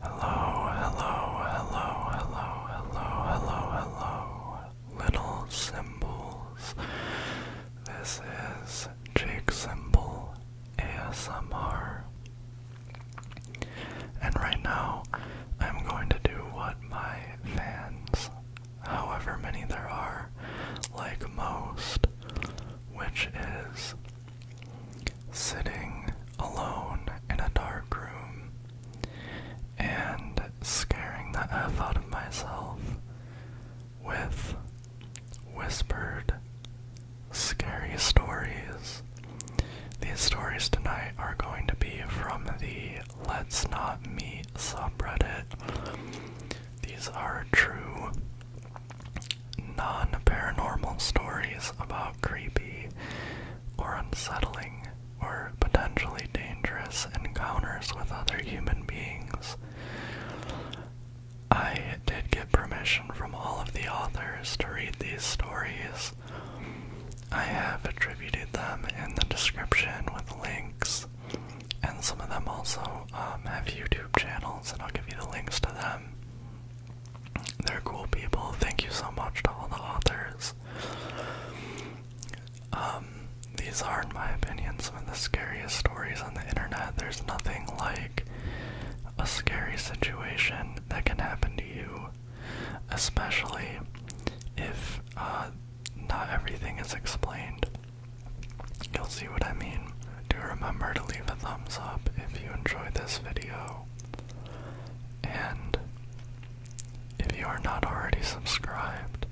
Hello, hello, hello, hello, hello, hello, hello, little symbols. This is Jake Symbol ASMR. And right now, I'm going to do what my fans, however many there are, like most, which is sitting alone in a dark room and scaring the F out of myself with whispered scary stories. These stories tonight are going to be from the Let's Not Meet subreddit. These are true non paranormal stories about creepy or unsettling or potentially dangerous encounters with other human beings. I did get permission from all of the authors to read these stories. I have attributed them in the description with links, and some of them also um, have YouTube channels, and I'll give you the links to them. They're cool people. Thank you so much to all the authors. Um, these are, in my opinion, some of the scariest stories on the internet. There's nothing like a scary situation that can happen to you, especially if uh, not everything is explained. You'll see what I mean. Do remember to leave a thumbs up if you enjoyed this video. And if you are not already subscribed,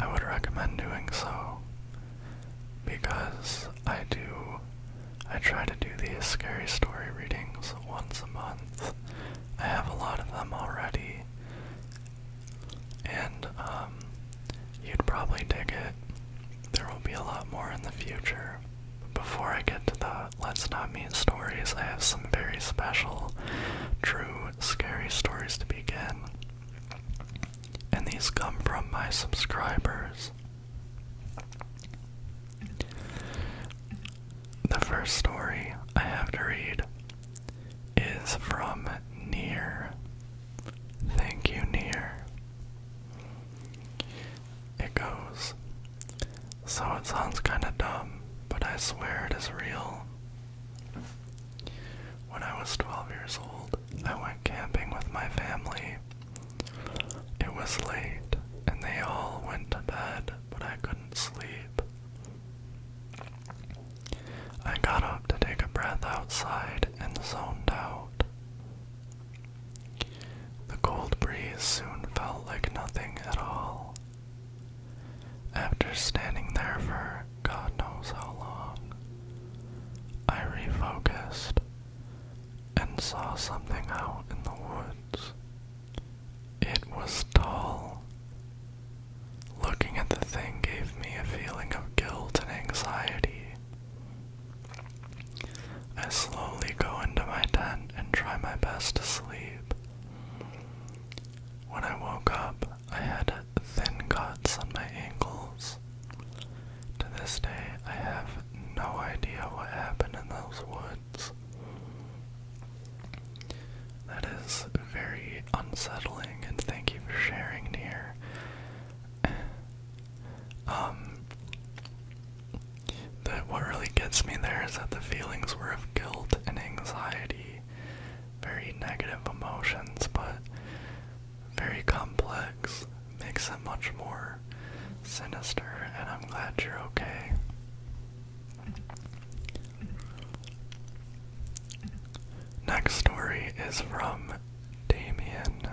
I would recommend doing so because I do I try to do these scary story readings once a month. I have a lot of them already. And um, you'd probably dig it. There will be a lot more in the future. Before I get to the Let's Not Meet stories, I have some very special, true, scary stories to begin. And these come from my subscribers. The first story I have to read is from Near. Thank you, Near it goes. So it sounds kinda dumb, but I swear it is real. When I was 12 years old, I went camping with my family. It was late, and they all went to bed, but I couldn't sleep. I got up to take a breath outside and zoned out. The cold breeze soon felt like nothing at all. After standing there for God knows how long, I refocused and saw something out in the woods. It was tall. Looking at the thing gave me a feeling of guilt and anxiety. I slowly go into my tent and try my best to sleep. When I woke up, I had thin cuts on my ankles. To this day, I have no idea what happened in those woods. That is very unsettling, and thank you for sharing, here. um, but what really gets me there is that the feelings were of guilt and anxiety, very negative emotions, but very complex, makes it much more sinister, and I'm glad you're okay. Next story is from Damien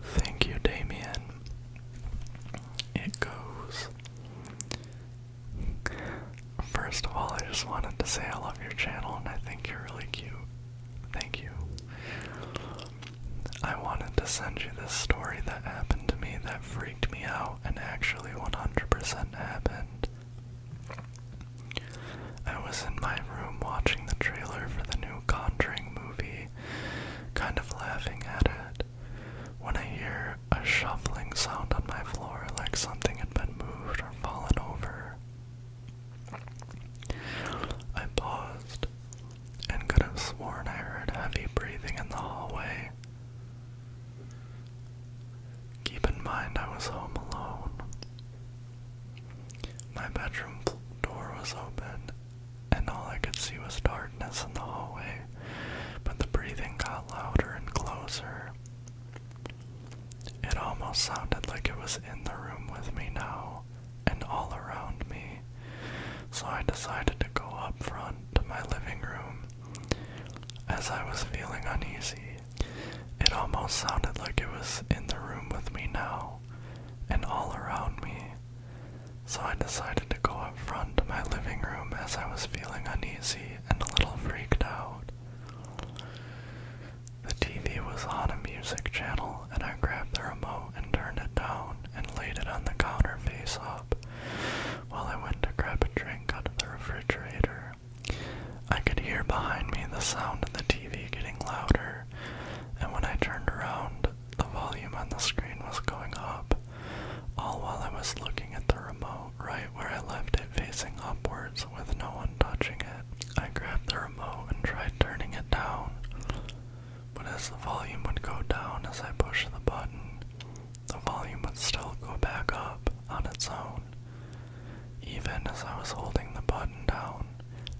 Thank you, Damien. It goes. First of all, I just wanted to say I love your channel and I think you're really cute. Thank you. I wanted to send you this story that happened to me that freaked me out and actually 100% happened. I was in my room watching the trailer for the new Conjuring movie, kind of laughing at it. When I hear a shuffling sound on my floor, like something had been moved or fallen over, I paused and could have sworn I heard heavy breathing in the hallway. Keep in mind I was home alone. My bedroom door was open and all I could see was darkness in the hallway, but the breathing got louder and closer. It almost sounded like it was in the room with me now and all around me, so I decided to go up front to my living room. As I was feeling uneasy, it almost sounded like it was in the room with me now and all around me, so I decided to go up front to my living room as I was feeling uneasy and a little freaked out. The TV was on a music channel, and I grabbed the remote and turned it down and laid it on the counter face up while I went to grab a drink out of the refrigerator. I could hear behind me the sound of the TV getting louder, and when I turned around, the volume on the screen was going up, all while I was looking at the remote right where I left it facing upwards with no one touching it. I grabbed the remote and tried turning it down, but as the volume would go down as I pushed the button, the volume would still go back up on its own, even as I was holding the button down.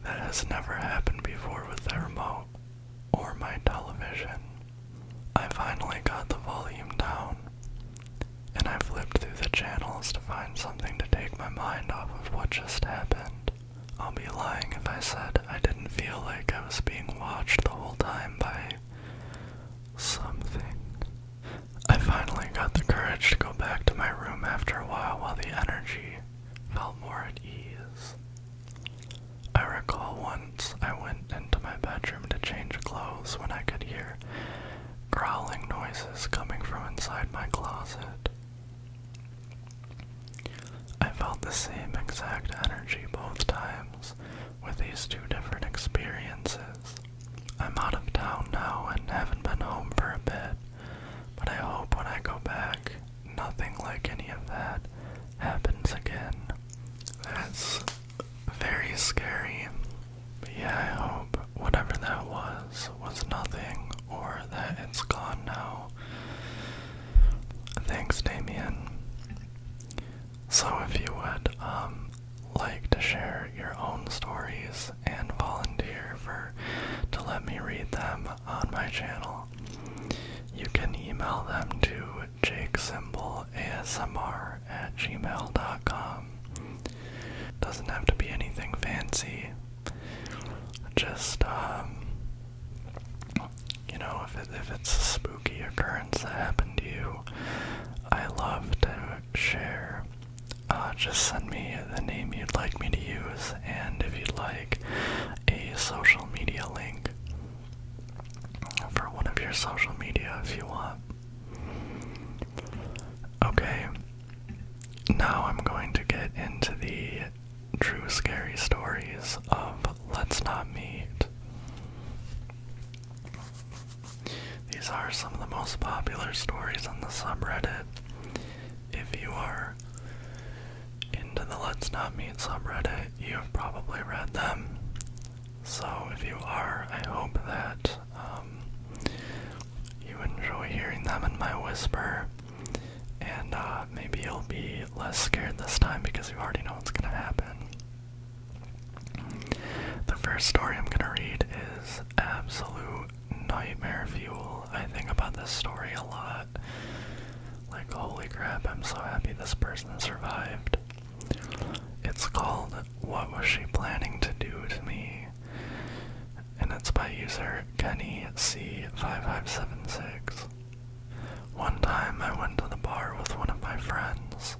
That has never happened before with the remote or my television. I finally got the volume down, and I flipped through the channels to find something to take my mind off of what just happened. I'll be lying if I said I didn't feel like I was being watched the whole time by something. I finally got the courage to go back to my room after a while while the energy felt more at ease. I recall once I went into my bedroom to change clothes when I could hear growling noises coming from inside my closet. I felt the same exact energy both times with these two different experiences. I'm out of town now and haven't been home for a bit, but I hope when I go back nothing like any of that happens again. That's very scary. But yeah, I hope whatever that was was nothing or that it's gone now. Thanks, Damien. So, if you would um, like to share your own stories and volunteer for to let me read them, on my channel, you can email them to jakesymbolasmr at gmail.com. Doesn't have to be anything fancy. Just, um, you know, if, it's a spooky occurrence that happened to you, I love to share. Uh, just send me the name you'd like me to use, and if you'd like, a social media link for one of your social media if you want. Okay, now I'm going to get into the true scary stories of Let's Not Meet. These are some of the most popular stories on the subreddit. If you are into the Let's Not Meet Reddit, you've probably read them. So if you are, I hope that um, you enjoy hearing them in my whisper. And uh, maybe you'll be less scared this time because you already know what's going to happen. The first story I'm going to read is Absolute Nightmare Fuel. I think about this story a lot. Like, holy crap, I'm so happy this person survived. It's called What Was She Planning to Do to Me? And it's by user Kenny C5576. One time I went to the bar with one of my friends.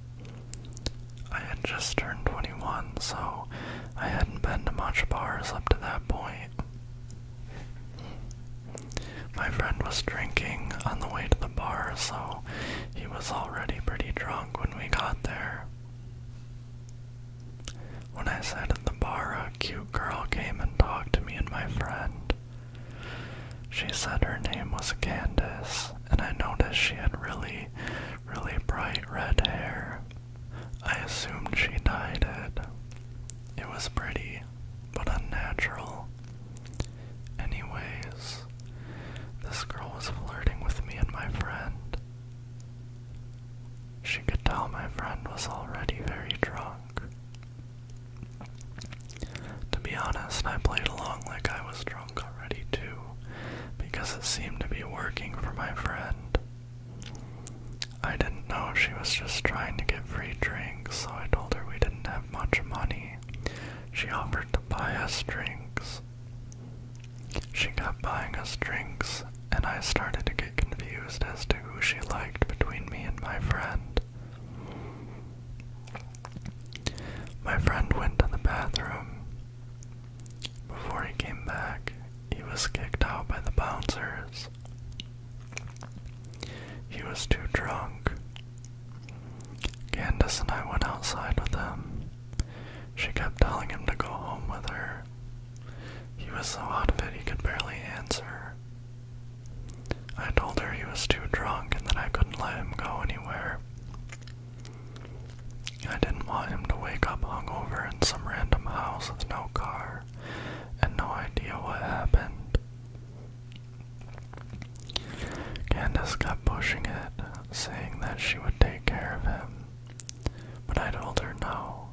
I had just turned 21, so I hadn't been to much bars up to that point. My friend was drinking on the way to the bar, so he was already pretty drunk when we got there. When I sat at the bar, a cute girl came and talked to me and my friend. She said her name was Candice, and I noticed she had really, really bright red hair. I assumed she dyed it. It was pretty, but unnatural. Anyways, this girl was flirting with me and my friend. She could tell my friend was already very drunk. To be honest, I played along like I was drunk already too, because it seemed to be working for my friend. I didn't know if she was just trying to get free drinks so I told her we didn't have much money. She offered to buy us drinks. She kept buying us drinks, and I started to get confused as to who she liked between me and my friend. My friend went to the bathroom. Before he came back, he was kicked out by the bouncers. He was too drunk. Candace and I went outside with him. She kept telling him to go home with her. He was so out of it he could barely answer. I told her he was too drunk and that I couldn't let him go anywhere. I didn't want him to wake up hungover in some random house with no car and no idea what happened. Candace kept pushing it, saying that she would take care of him, but I told her no,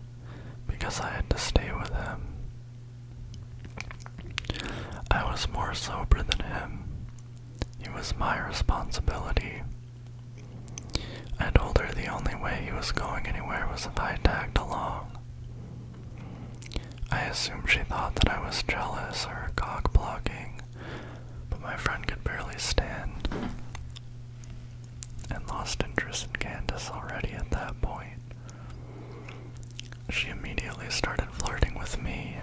because I had to stay with him. I was more sober than him. It was my responsibility. I told her the only way he was going anywhere was if I tagged along. I assume she thought that I was jealous or cock blocking, but my friend could barely stand and lost interest in Candace already at that point. She immediately started flirting with me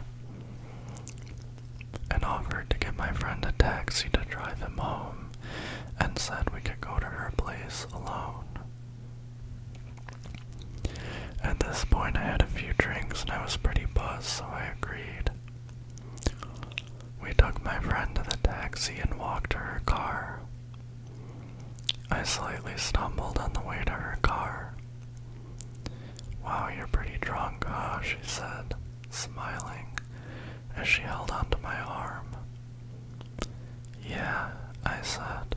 and offered to get my friend a taxi to drive him home and said we could go to her place alone. At this point, I had a few drinks and I was pretty buzzed, so I agreed. We took my friend to the taxi and walked to her car. I slightly stumbled on the way to her car. Wow, you're pretty drunk, she said, smiling, as she held onto my arm. Yeah, I said.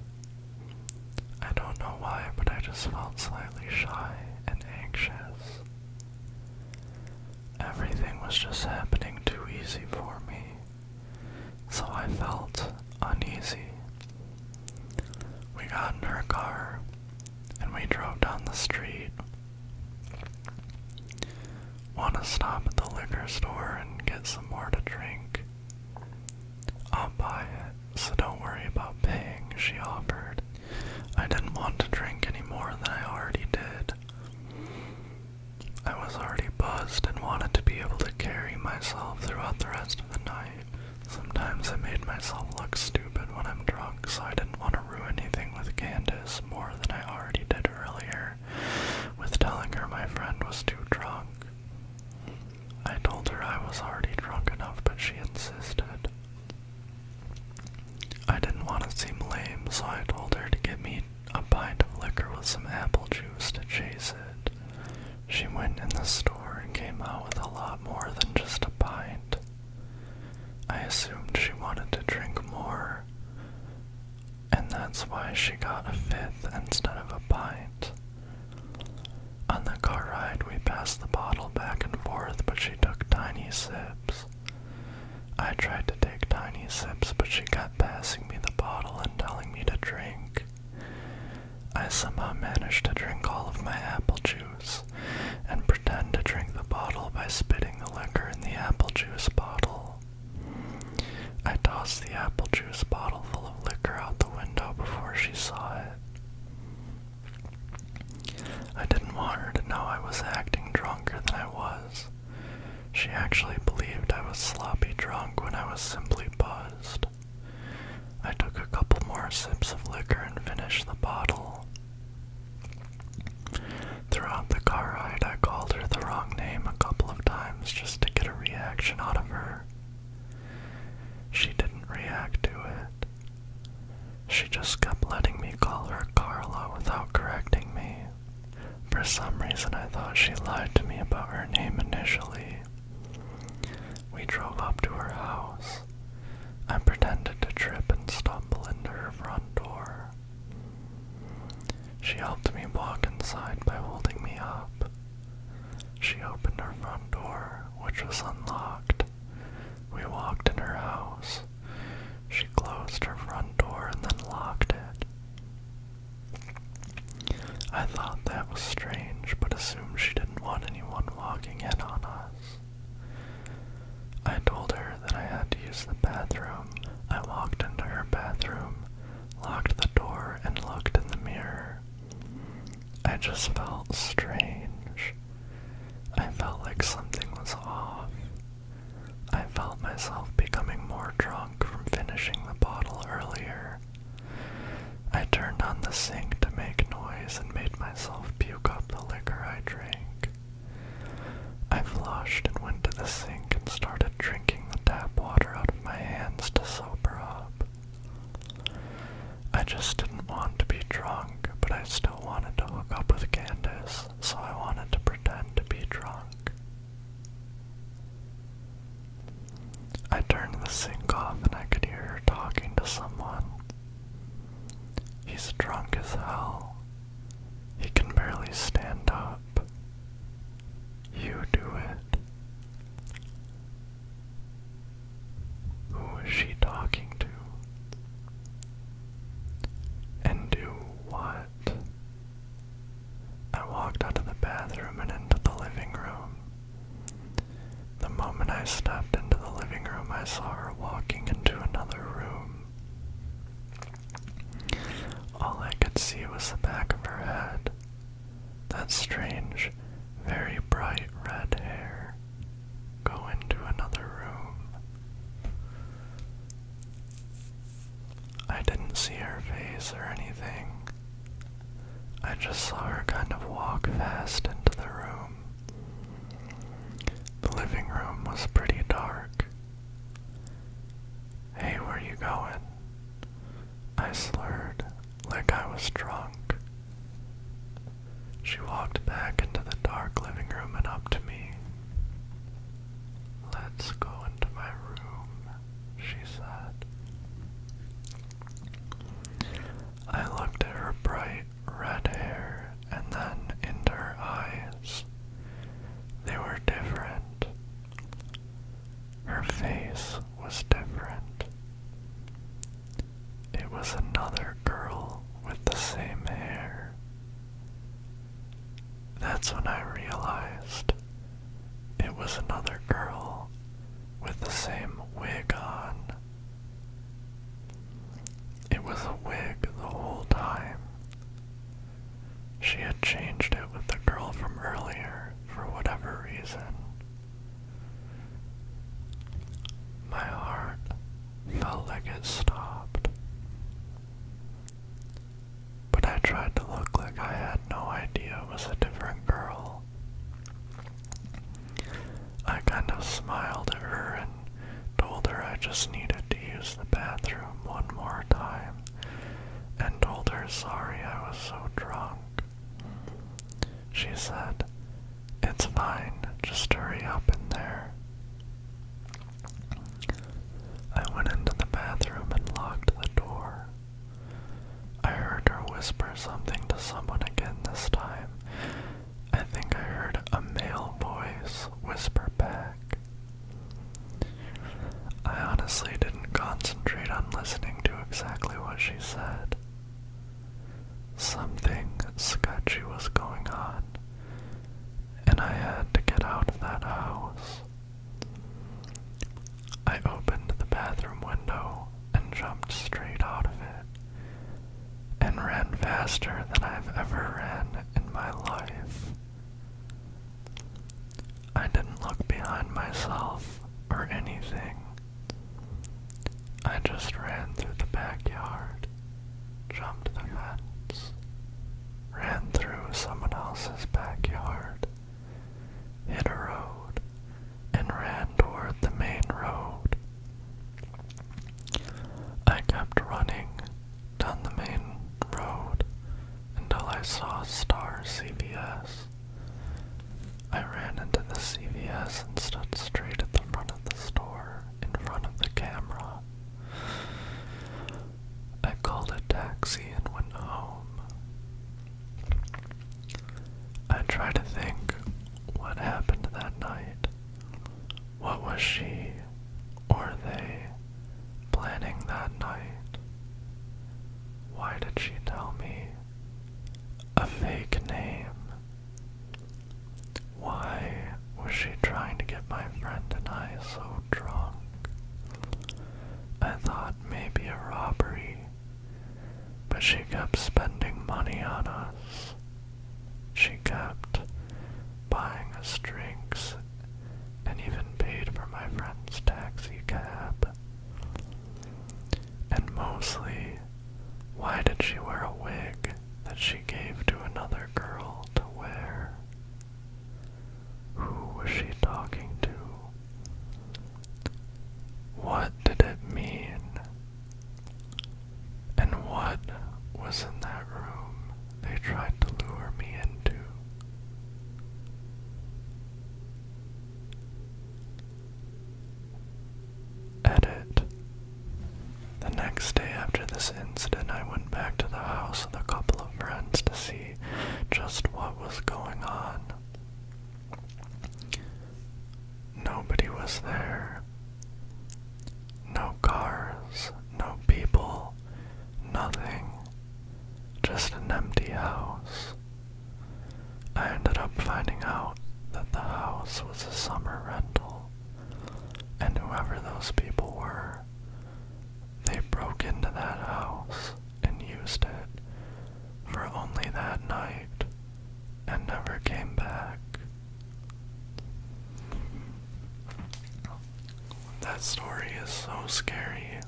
I don't know why, but I just felt slightly shy and anxious. Everything was just happening too easy for me, so I felt uneasy. We got in her car and we drove down the street. Want to stop at the liquor store and get some more to drink. I'll buy it, so don't worry about paying, she offered. I didn't want to drink any more than I already did. I was already buzzed and wanted to be able to carry myself throughout the rest of the night. Sometimes I made myself look stupid when I'm drunk, so I didn't want to ruin anything with Candace more than I already did earlier, with telling her my friend was too drunk. I told her I was already drunk enough, but she insisted. I didn't want to seem lame, so I told her to get me a pint of liquor with some apple juice to chase it. She went in the store and came out with a lot more than just a pint. I assumed she wanted to drink more, and that's why she got a fifth instead of a pint. On the car ride, we passed the bottle back and forth, but she took tiny sips. I tried to take tiny sips, but she kept passing me the bottle and telling me to drink. I somehow managed to drink all of my apple juice and pretend to drink the bottle by spitting the liquor in the apple juice bottle. I tossed the apple juice bottle liquor out the window before she saw it. I didn't want her to know I was acting drunker than I was. She actually believed I was sloppy drunk when I was simply buzzed. I took a couple more sips of liquor and finished the bottle. Throughout the car ride, I called her the wrong name a couple of times just to get a reaction out of her. She didn't react to it. She just kept letting me call her Carla without correcting me. For some reason, I thought she lied to me about her name initially. We drove up to her house. I pretended to trip and stumble into her front door. She helped me walk inside by holding me up. She opened her front door, which was unlocked. We walked in her house. She closed her front door and then locked it. I thought that was strange, but assumed she didn't want anyone walking in on us. I told her that I had to use the bathroom. I walked into her bathroom, locked the door, and looked in the mirror. I just felt strange. I felt like something was off. I felt myself becoming more drunk from finishing the bottle earlier. I turned on the sink to make noise and made myself puke up the liquor I drank. I flushed and went to the sink and started drinking the tap water out of my hands to sober up. I just didn't want to be drunk, but I still wanted to hook up with Candace, so I wanted to pretend to be drunk. I turned the sink off and I could hear her talking to someone. He's drunk as hell. He can barely stand up. You do it. Who is she talking to? And do what? I walked out of the bathroom and into the living room. The moment I stepped into the living room, I saw her walking into another room. All I could see was the back of her head, that strange, very bright red hair. Go into another room. I didn't see her face or anything. I just saw her kind of walk fast into the room. The living room was pretty dark. Hey, where you going? I slurred like I was drunk. She walked back into the dark living room and up to me. Let's go into my room, she said. I looked at her bright red hair and then into her eyes. They were different. Her face was different. It was another girl with the same hair. That's when I realized it was another girl with the same wig on. It was a wig the whole time. She had changed it with the girl from earlier for whatever reason. My heart felt like it stopped. But I tried to look like I had no idea it was a different girl. I kind of smiled at her and told her I just needed to use the bathroom one more time and told her sorry I was so drunk. She said, It's fine, just hurry up in there. I went into the bathroom and locked the door. I heard her whisper something to someone again this time. I think I heard a male voice whisper back. I honestly didn't concentrate on listening to exactly what she said. Something sketchy was going on, and I had to get out of that house. I opened the bathroom window and jumped straight out of it, and ran faster than I've ever ran in my life. I didn't look behind myself or anything, I just ran through the backyard, jumped the fence, ran through someone else's backyard, hit a road, and ran toward the main road. I kept running down the main road until I saw Star CVS. I ran into the CVS and stood straight at the front of the store, in front of the camera. I called a taxi and went home. I try to think what happened that night. What was she or they planning that night? Why did she tell me a fake name. Why was she trying to get my friend and I so drunk? I thought maybe a robbery, but she kept spending money on us. She kept buying us drinks and even paid for my friend's taxi cab. And mostly, why did she wear a wig that she gave to another girl to wear? Who was she talking to? What did it mean? And what was in that room they tried to lure me into? Edit. The next day after this incident, I went back to the house of a couple of friends to see just what was going on. Nobody was there. No cars, no people, nothing. Just an empty house I ended up finding out that the house was a summer rental, and whoever those people were, they broke into that house and used it for only that night and never came back. That story is so scary.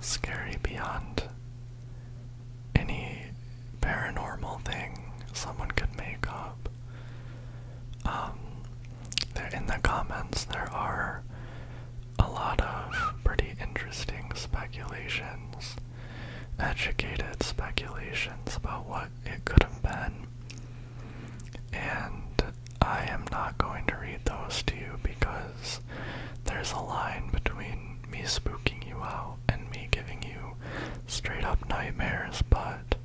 Scary beyond any paranormal thing someone could make up. Um, there in the comments there are a lot of pretty interesting speculations, educated speculations about what it could have been. And I am not going to read those to you because there's a line between me spooking you out and me giving you straight up nightmares, but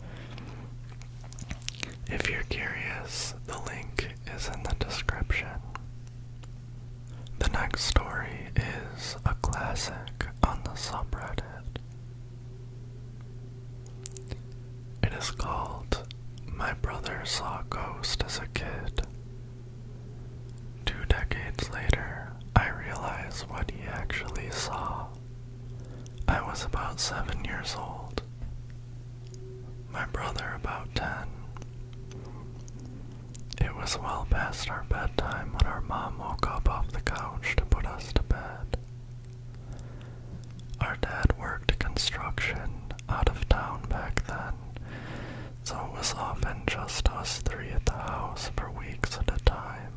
if you're curious, the link is in the description. The next story is a classic on the subreddit. It is called My Brother Saw a Ghost as a Kid Two decades later, I realize what he actually saw. I was about seven years old, my brother about ten. It was well past our bedtime when our mom woke up off the couch to put us to bed. Our dad worked construction out of town back then, so it was often just us three at the house for weeks at a time.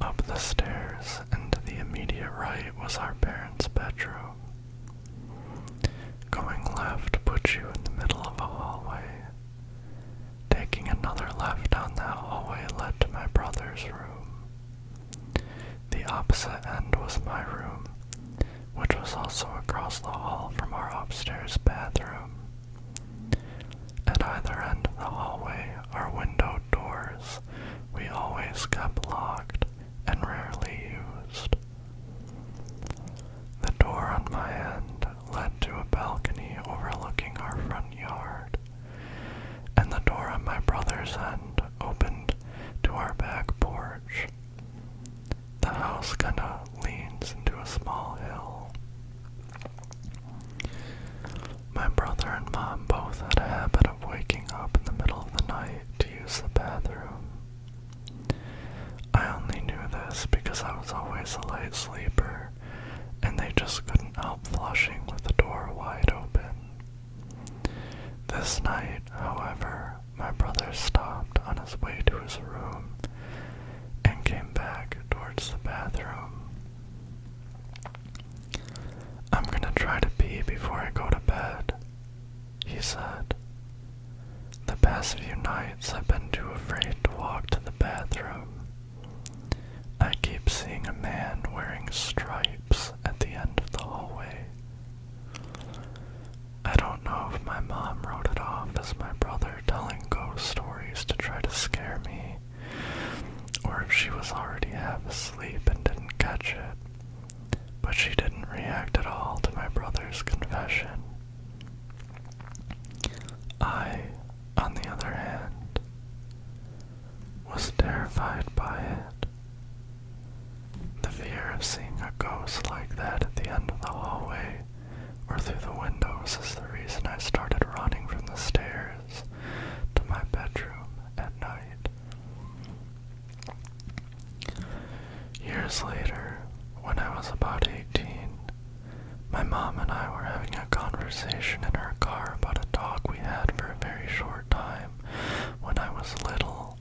Up the stairs and to the immediate right was our parents' bedroom. Going left put you in the middle of a hallway. Taking another left down that hallway led to my brother's room. The opposite end was my room, which was also across the hall from our upstairs bathroom. At either end of the hallway, our window doors we always kept locked and rarely used. The door on my end led to a balcony overlooking our front yard, and the door on my brother's end opened to our back porch. The house kinda leans into a small hill. My brother and mom both had a habit of waking up in the middle of the night to use the bathroom. I only knew this because I was always a light sleeper, and they just couldn't help flushing with the door wide open. This night, however, my brother stopped on his way to his room and came back towards the bathroom. I'm gonna try to pee before I go to bed, he said. The past few nights I've been too afraid to walk to the bathroom. I keep seeing a man wearing stripes at the end of the hallway. I don't know if my mom wrote it off as my brother telling ghost stories to try to scare me, or if she was already half asleep and didn't catch it, but she didn't react at all to my brother's confession. I, on the other hand, was terrified by it. The fear of seeing a ghost like that at the end of the hallway or through the windows is the reason I started running from the stairs to my bedroom at night. Years later, when I was about 18, my mom and I were having a conversation in her car about a dog we had for a very short time when I was little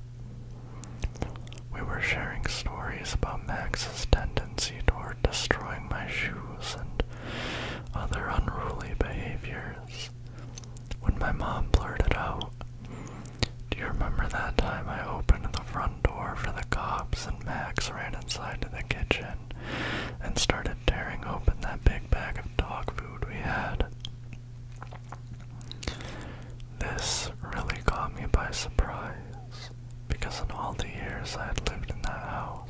we were sharing stories about Max's tendency toward destroying my shoes and other unruly behaviors. When my mom blurted out, Do you remember that time I opened the front door for the cops and Max ran inside to the kitchen and started tearing open that big bag of dog food we had? This really caught me by surprise because in all the years I had lived in that house,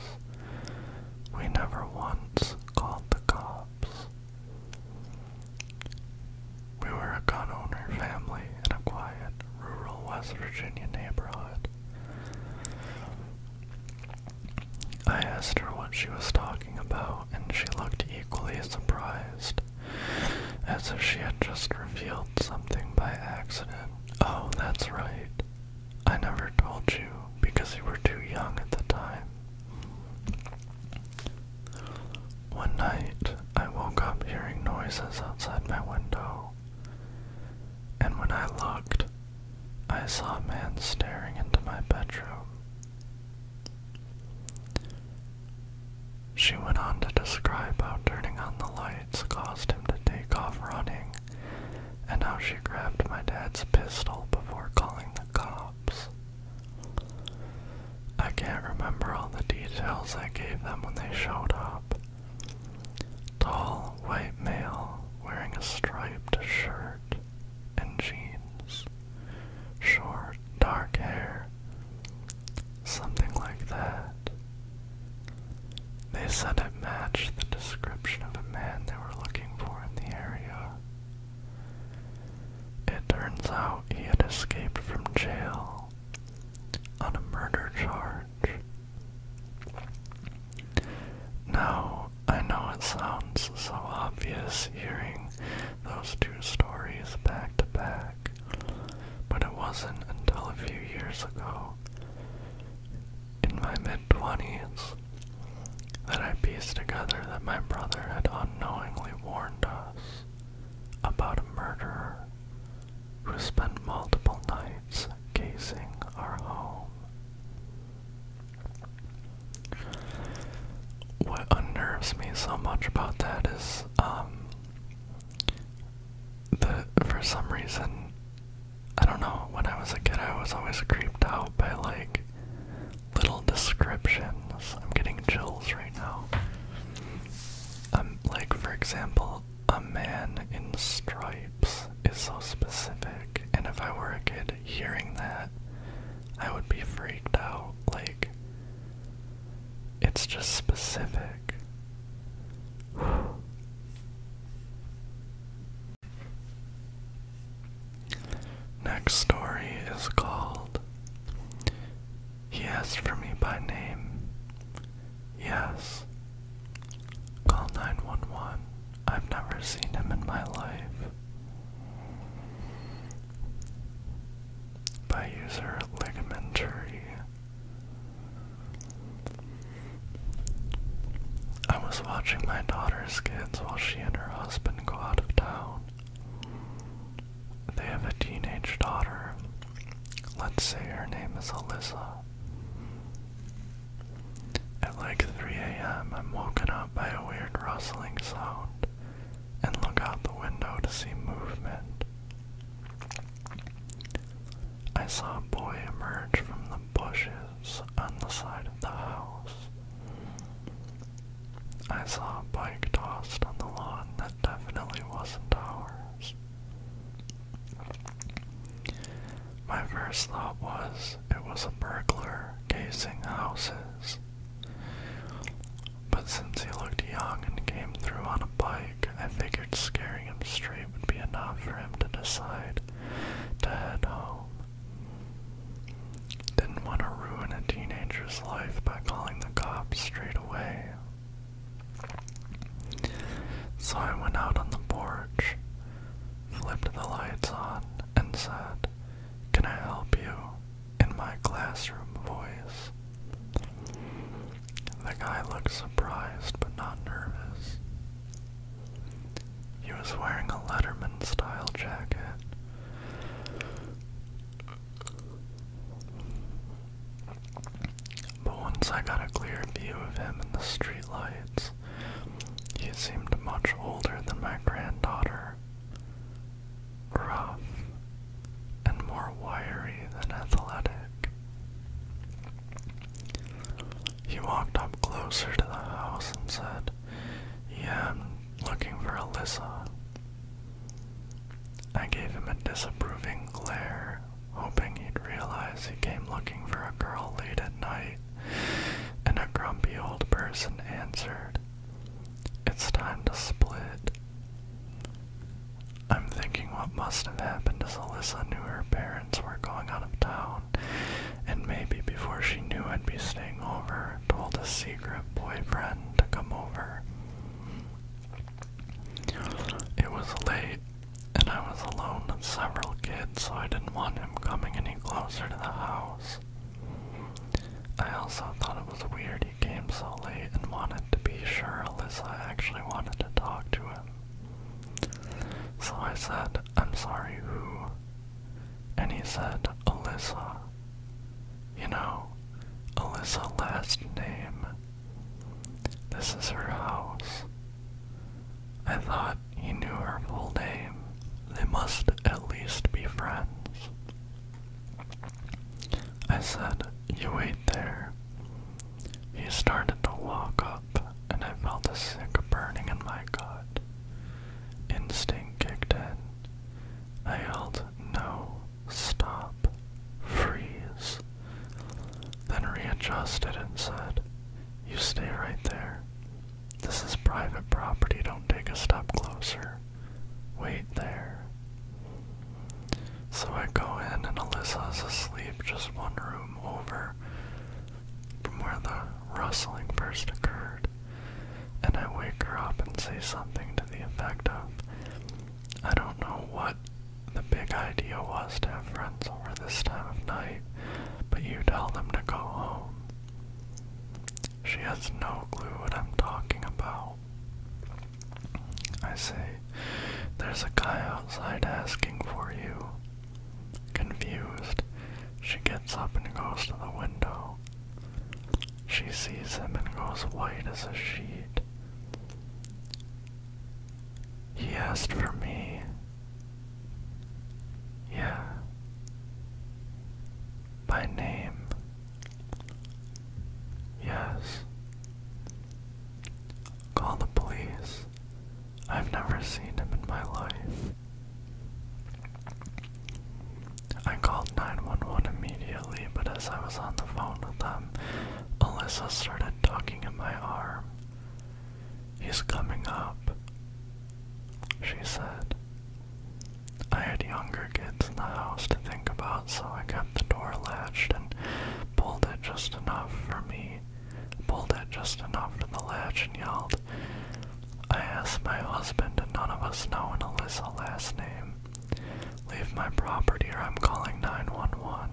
we never once called the cops. We were a gun owner family in a quiet, rural West Virginia neighborhood. I asked her what she was talking about, and she looked equally surprised as if she had just revealed something by accident. Oh, that's right. I never told you because you were too young at the time. One night, I woke up hearing noises outside my window, and when I looked, I saw a man staring into my bedroom. She went on to describe how turning on the lights caused him to take off running, and how she grabbed my dad's pistol before calling the cops. I can't remember all the details I gave them when they showed up. Tall, white male wearing a striped shirt and jeans. Short, dark hair. Something like that. They said it matched the description of a man they were looking for in the area. It turns out he had escaped from jail on a murder charge. Now, I know it sounds so obvious hearing those two stories back to back but it wasn't until a few years ago, in my mid 20s, that I pieced together that my brother had unknowingly warned us about a murderer who spent multiple nights casing our home. What unnerves me so much about that is um, for some reason I don't know, when I was a kid I was always creeped out by like little descriptions. I'm getting chills right now. Um like for example, a man in stripes is so specific and if I were a kid hearing that I would be freaked out like it's just specific. Next story is called He Asked for Me by Name. Yes. Call 911. I've never seen him in my life by user Ligamentary. I was watching my daughter's kids while she and her husband go out of town. They have a teenage daughter. Let's say her name is Alyssa. At like 3 a.m., I'm woken up by a weird rustling sound and look out the window to see movement. I saw a boy emerge from the bushes on the side of the house. I saw a bike tossed on the lawn that definitely wasn't ours. My first thought was it was a burglar casing houses. But since he looked young and came through on a bike, I figured scaring him straight would be enough for him to decide to head home. Didn't want to ruin a teenager's life by calling the cops straight away. So I went out on the porch, flipped the lights on, and said, Can I help you? in my classroom voice. The guy looked surprised but not nervous. He was wearing a Letterman style jacket. But once I got a clear view of him in the streetlights, he seemed much older than my granddaughter, rough, and more wiry than athletic. He walked up closer to the house and said, Yeah, I'm looking for Alyssa. I gave him a disapproving glare, hoping he'd realize he came looking for a girl late at night, and a grumpy old person answered, It's time to split. I'm thinking what must have happened is Alyssa knew her parents were going out of town, and maybe before she knew I'd be staying over, told a secret boyfriend to come over. It was late, and I was alone with several kids, so I didn't want him coming any closer to the house. I also thought it was weird he came so late and wanted to be sure Alyssa actually wanted to talk to him. So I said, I'm sorry, who? And he said, Alyssa. You know, Alyssa last name. This is her house. I thought he knew her full name. They must at least be friends. I said, you wait there. He started to walk up, and I felt a sick burning in my gut. Instinct kicked in. I yelled, No, stop, freeze. Then readjusted and said, You stay right there. This is private property, don't take a step closer wait there. So I go in, and Alyssa's asleep just one room over from where the rustling first occurred. And I wake her up and say something to the effect of, I don't know what the big idea was to have friends over this time of night, but you tell them to go home. She has no clue what I'm talking about. I say, There's a guy outside asking for you. Confused, she gets up and goes to the window. She sees him and goes white as a sheet. He asked for me. Yeah. By name. Yes. Call the police. I've never seen him in my life. I called 911 immediately, but as I was on the phone with them, Alyssa started talking in my arm. He's coming up, she said. I had younger kids in the house to think about, so I kept the door latched and pulled it just enough for me. Pulled it just enough for the latch and yelled. I asked my husband, and none of us know an Alyssa last name. Leave my property or I'm calling 911.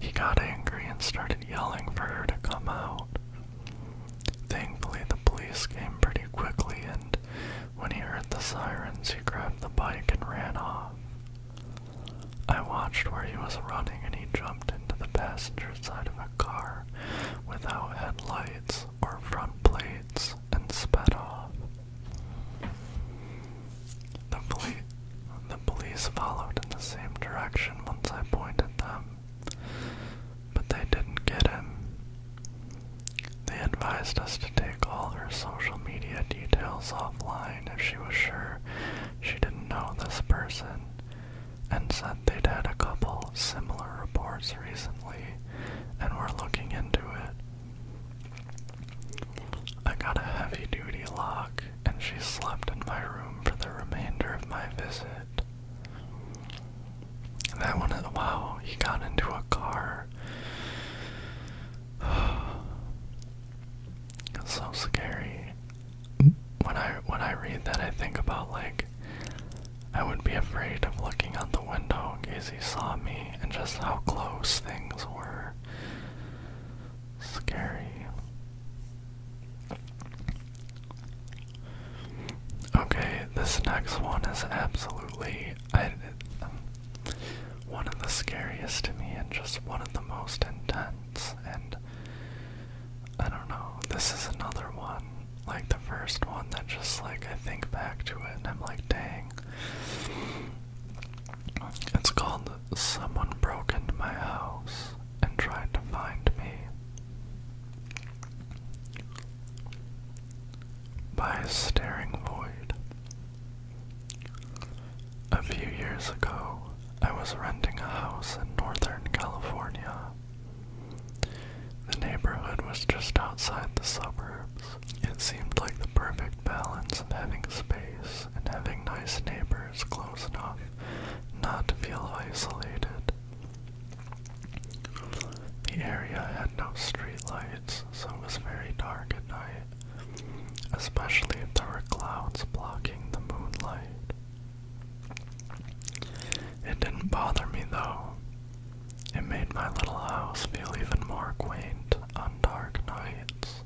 He got angry and started yelling for her to come out. Thankfully, the police came pretty quickly and when he heard the sirens, he grabbed the bike and ran off. I watched where he was running and he jumped into the passenger side of a car without headlights or front plates and sped off. The, poli the police followed in the same direction once I pointed them, but they didn't get him they advised us to take all her social media details offline if she was sure she didn't know this person, and said they'd had a couple similar reports recently and were looking into it. I got a heavy duty lock, and she slept in my room for the remainder of my visit. That one, wow, he got into a car. so scary. When I when I read that, I think about like I would be afraid of looking out the window in he saw me, and just how close things were. Scary. Okay, this next one is absolutely I, um, one of the scariest to me and just one of the most intense. And I don't know, this is another one, like the first one that just like I think back to it and I'm like, dang. It's called Someone Broke Into My House and Tried to Find Me by a staring void. A few years ago, I was renting a house in Northern California. The neighborhood was just outside the suburbs. It seemed like the perfect balance of having space and having nice neighbors close enough not to feel isolated. The area had no streetlights so it was very dark at night, especially if there were clouds blocking the moonlight. It didn't bother me though. It made my little house feel even more quaint on dark nights.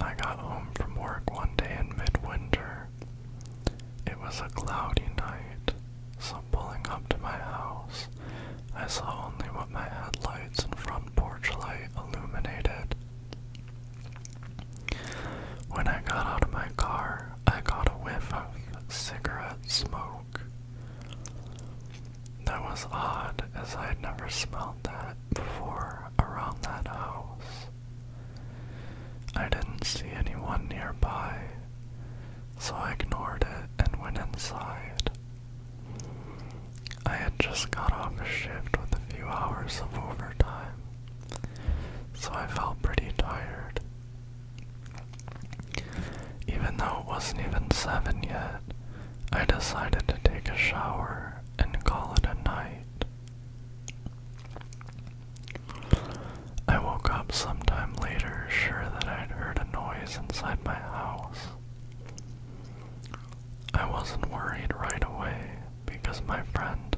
I got home from work one day in midwinter. It was a cloudy night, so pulling up to my house, I saw only what my headlights and front porch light illuminated. When I got out of my car, I got a whiff of cigarette smoke. That was odd, as I had never smelled that before around that house. I didn't see anyone nearby, so I ignored it and went inside. I had just got off a shift with a few hours of overtime, so I felt pretty tired. Even though it wasn't even 7 yet, I decided to take a shower and call it a night. I woke up sometime later, sure that I'd heard a noise inside my house. I wasn't worried right away because my friend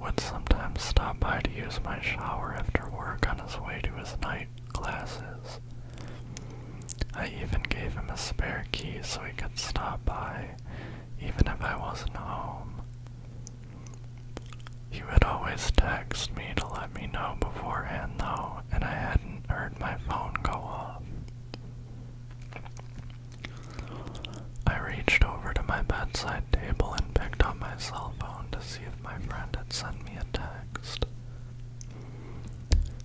would sometimes stop by to use my shower after work on his way to his night classes. I even gave him a spare key so he could stop by even if I wasn't home. He would always text me to let me know beforehand, though, and I hadn't heard my phone go off. I reached over to my bedside table and picked up my cell phone to see if my friend had sent me a text.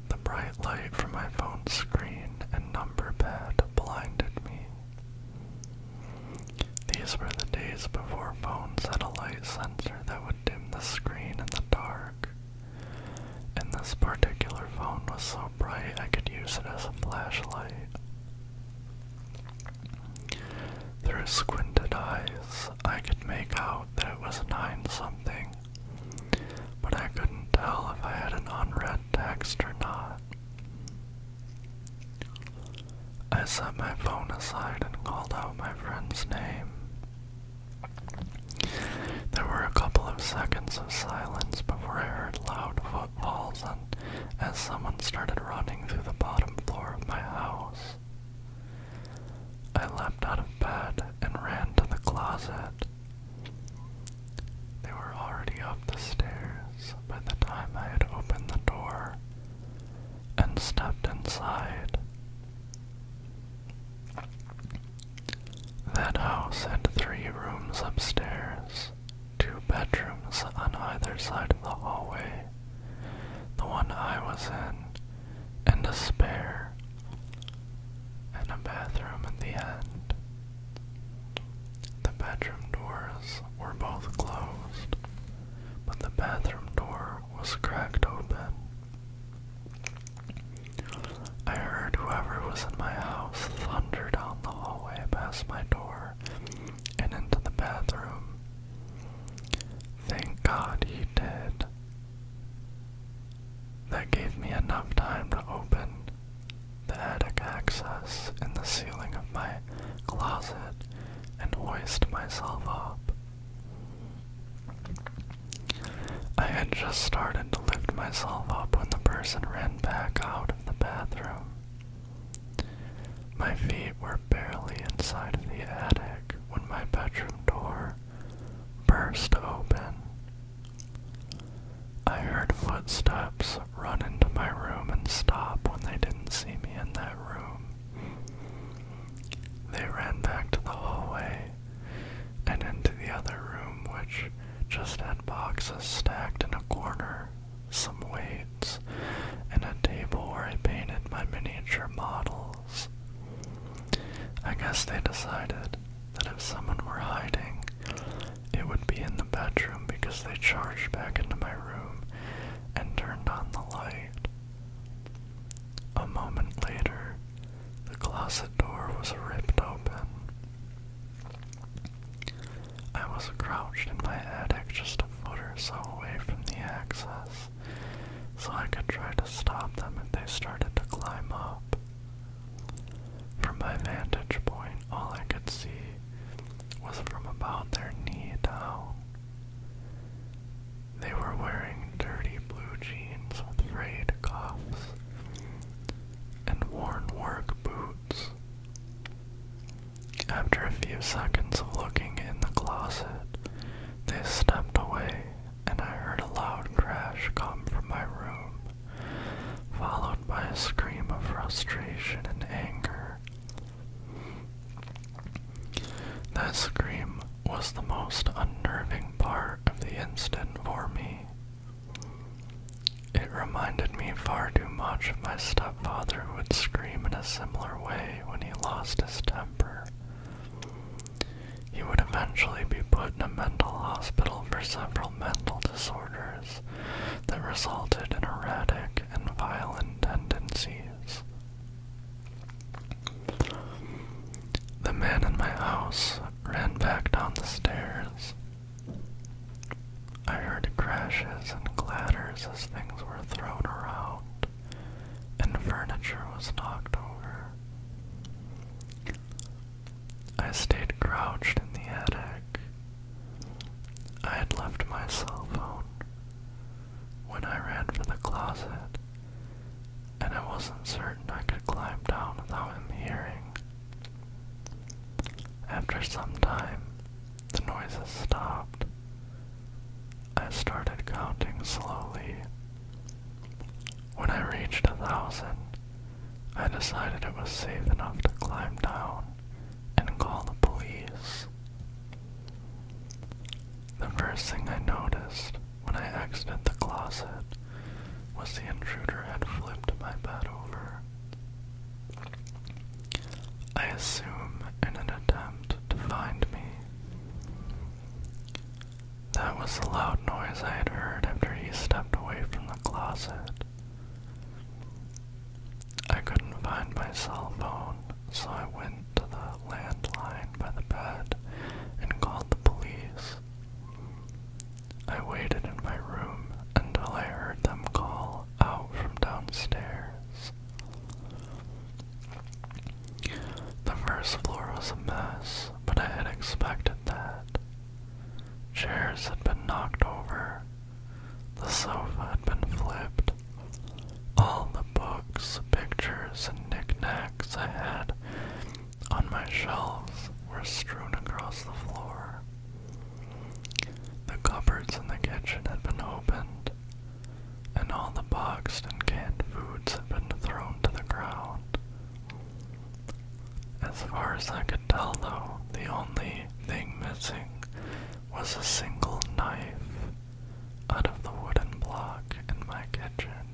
The bright light from my phone's screen and number pad blinded me. These were the days before phones had a light sensor that would dim the screen in the dark. And this particular phone was so bright I could use it as a flashlight. Through squinted eyes, I could make out that it was nine something, but I couldn't tell if I had an unread text or not. I set my phone aside and called out my friend's name. There were a couple of seconds of silence before I heard loud footfalls and as someone started running through the bottom floor of my house. I leapt out of bed and ran to the closet. They were already up the stairs by the time I had opened the door, and stepped inside. That house had three rooms upstairs, two bedrooms on either side of the hallway, the one I was in, and a spare, and a bathroom at the end. The bedroom doors were both closed, but the bathroom door was cracked open. I heard whoever was in my house thunder down the hallway past my door and into the bathroom. Thank God he did. That gave me enough time to open the attic access in the ceiling of my closet and hoist myself up. I had just started to lift myself up when the person ran back out of the bathroom. My feet were barely inside of the attic when my bedroom door burst open. I heard footsteps run into my room and stop when they didn't see me in that room. They ran back to the hallway and into the other room, which just had boxes stacked in a corner, some weights, and a table where I painted my miniature models. I guess they decided that if someone were hiding, it would be in the bedroom because they charged back into my room and turned on the light. A moment later, the closet door was ripped open. I was crouched in my attic just a foot or so away from the access, so I could try to stop them if they started to climb up. From my vantage point, all I could see was from about their knee down. They were wearing dirty blue jeans with frayed cuffs and worn work boots. After a few seconds of looking in the closet, they stepped away, and I heard a loud crash come from my room, followed by a scream of frustration and anger. That scream was the most unnerving part of the incident for me. It reminded me far too much of my stepfather who would scream in a similar way when he lost his temper. He would eventually be put in a mental hospital for several mental disorders that resulted in erratic and violent tendencies. The man in my house ran back down the stairs. I heard crashes and clatters as things were thrown around, and furniture was knocked over. I stayed crouched in the attic. I had left my cell phone, when I ran for the closet, and I wasn't certain I could climb down without him hearing. After some time, the noises stopped. I started counting slowly. When I reached a thousand, I decided it was safe enough to climb down and call the police. The first thing I noticed when I exited the closet was the intruder had flipped my bed over. I assume in an attempt to find me. That was the loud noise I had heard after he stepped away from the closet. I couldn't find my cell phone, so I went to the landline by the bed and called the police. I waited in my room until I heard them call out from downstairs. The first floor was a mess, but I had expected that. Chairs had been knocked over, the sofa had been flipped, all the books, pictures, and knickknacks I had on my shelves were strewn across the floor. The cupboards in the kitchen had been opened, and all the boxed and canned foods had been thrown to the ground. As far as I could tell, though, the only thing missing was a single knife out of the wooden block in my kitchen.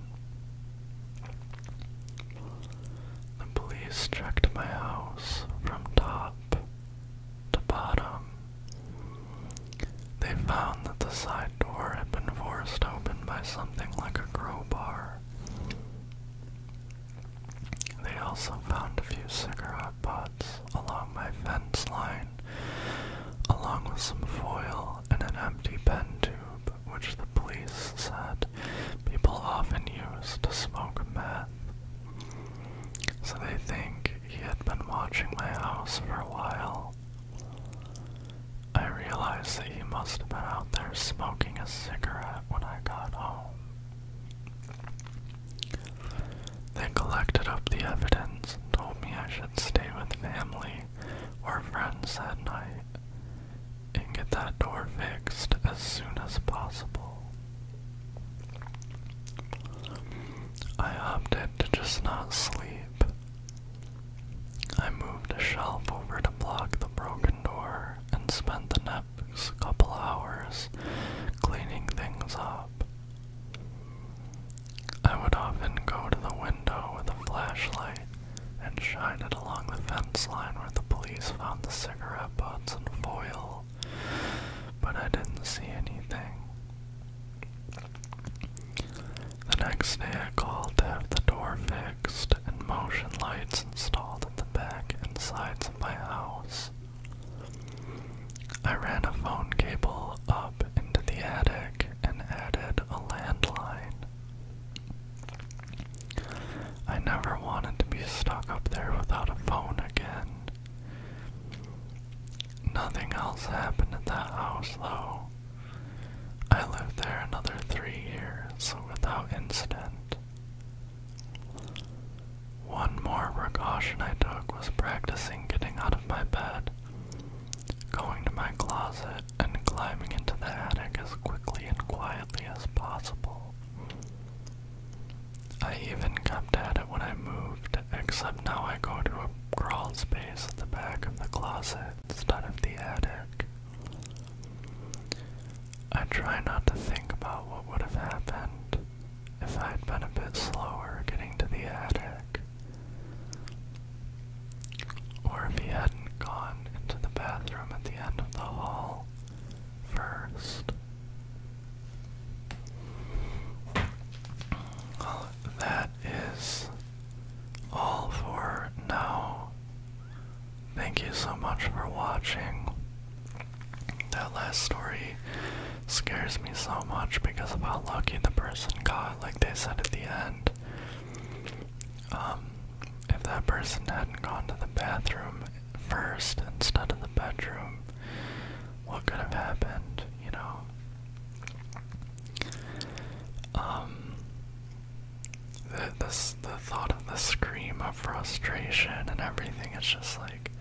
The police checked my house from top to bottom. They found that the side door had been forced open by something like a crowbar. They also found a few cigarette butts along my fence line along with some foil and an empty pen tube, which the police said people often use to smoke meth. So they think he had been watching my house for a while. I realized that he must have been out there smoking a cigarette when I got home. They collected up the evidence and told me I should stay with family or friends that night and get that door fixed as soon as possible. I opted to just not sleep. I moved a shelf over to block the broken door and spent the next couple hours cleaning things up. I would often go to the window with a flashlight and shine it along the fence line where the police found the cigarette butts and foil, but I didn't see anything. The next day I called to have the door fixed and motion lights installed at the back and sides of my house. I ran a phone cable up into the attic and added a landline. I never wanted to be stuck up there without a phone again. Nothing else happened at that house though. I lived there another three years without incident. One more precaution I took was practicing getting out of my bed Going to my closet and climbing into the attic as quickly and quietly as possible. I even kept at it when I moved, except now I go to a crawl space at the back of the closet instead of the attic. I try not to think about what would have happened if I had been a bit slower getting to the attic. Or if he hadn't gone into the bathroom at the end of the hall first. that is all for now. Thank you so much for watching. That last story scares me so much because of how lucky the person got, like they said at the end. Um, if that person hadn't gone to the bathroom first instead of the bedroom, what could have happened, you know? Um, the, the thought of the scream of frustration and everything, it's just like,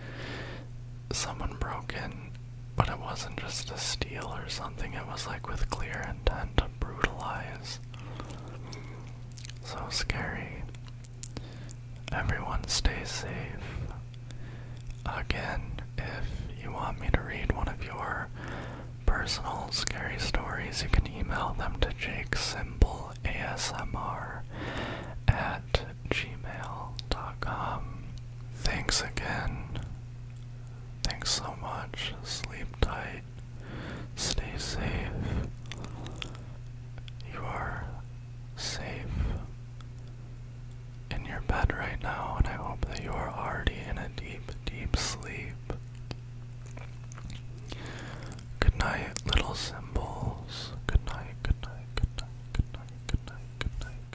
someone broke in, but it wasn't just a steal or something, it was like with clear intent to brutalize. So scary. Everyone stay safe. Again, if you want me to read one of your personal scary stories, you can email them to Jake Simple ASMR at gmail.com. Thanks again Thanks so much. Sleep tight. Stay safe. You are safe in your bed right now, and I hope that you are already in a deep, deep sleep. Good night, little symbols. Good night, good night, good night, good night, good night, good night.